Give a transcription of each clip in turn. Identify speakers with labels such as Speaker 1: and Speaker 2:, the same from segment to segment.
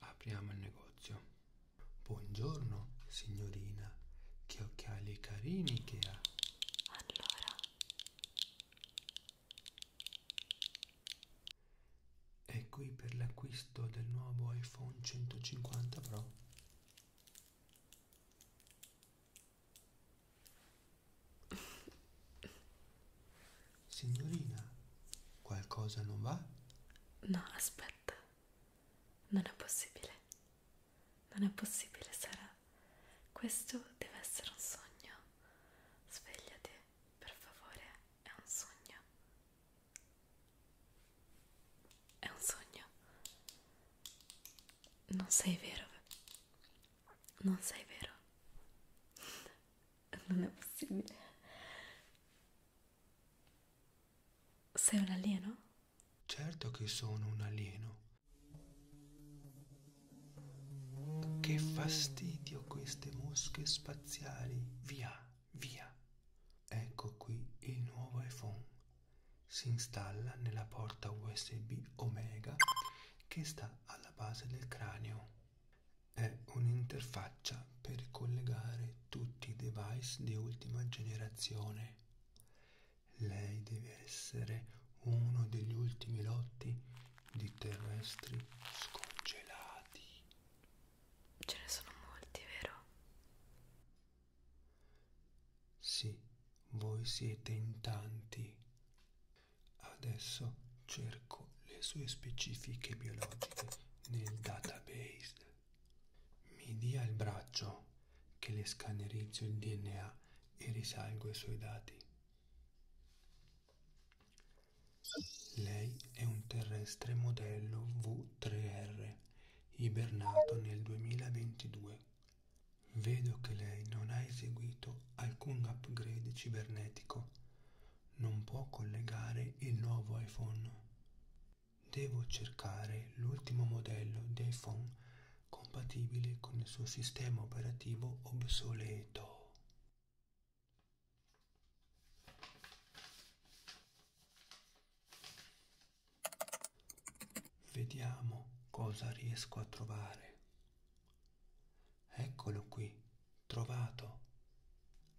Speaker 1: Apriamo il negozio. Buongiorno, signorina. Che occhiali carini che ha. Allora. È qui per l'acquisto del nuovo iPhone 150 Pro. Signorina, qualcosa non va? No, aspetta. Non è possibile. Non è possibile, Sara. Questo deve essere un sogno. Svegliati, per favore, è un sogno. È un sogno. Non sei vero. Non sei vero. Non è possibile. Sei un alieno? Certo che sono un alieno. Che fastidio queste mosche spaziali. Via, via. Ecco qui il nuovo iPhone. Si installa nella porta USB Omega che sta alla base del cranio. È un'interfaccia per collegare tutti i device di ultima generazione. Lei deve essere uno degli ultimi lotti di terrestri scongelati. Ce ne sono molti, vero? Sì, voi siete in tanti. Adesso cercate cerco le sue specifiche biologiche nel database. Mi dia il braccio che le scannerizzo il DNA e risalgo i suoi dati. Lei è un terrestre modello V3R, ibernato nel 2022. Vedo che lei non ha eseguito alcun upgrade cibernetico non può collegare il nuovo iPhone. Devo cercare l'ultimo modello di iPhone compatibile con il suo sistema operativo obsoleto. Vediamo cosa riesco a trovare. Eccolo qui, trovato.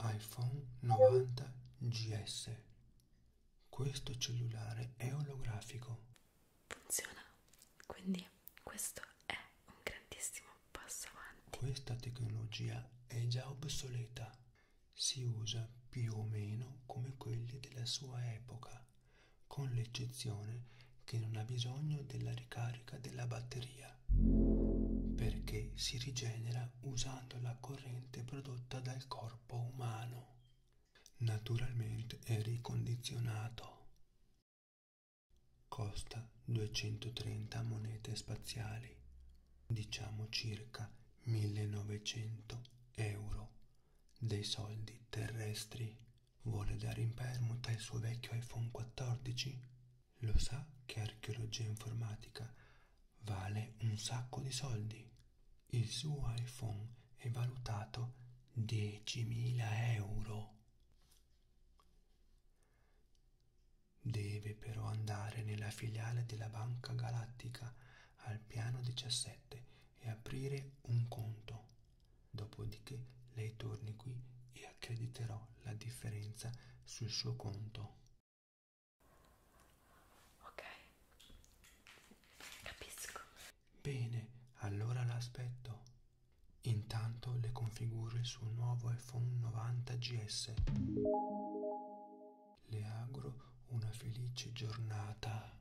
Speaker 1: iPhone 90 GS. Questo cellulare è olografico. Funziona. Quindi questo è un grandissimo passo avanti. Questa tecnologia è già obsoleta. Si usa più o meno come quelli della sua epoca, con l'eccezione che non ha bisogno della ricarica della batteria rigenera, perché si rigenera usando la corrente prodotta dal corpo umano. Naturalmente è ricondizionato. Costa 230 monete spaziali, diciamo circa 1900 euro dei soldi terrestri. Vuole dare in permuta il suo vecchio iPhone 14 lo sa che archeologia informatica vale un sacco di soldi? Il suo iPhone è valutato 10.000 euro. Deve però andare nella filiale della Banca Galattica al piano 17 e aprire un conto. Dopodiché lei torni qui e accrediterò la differenza sul suo conto. Ok, capisco. Bene, allora l'aspetto. Intanto le configuro il suo nuovo iPhone 90 GS. Le auguro una felice giornata.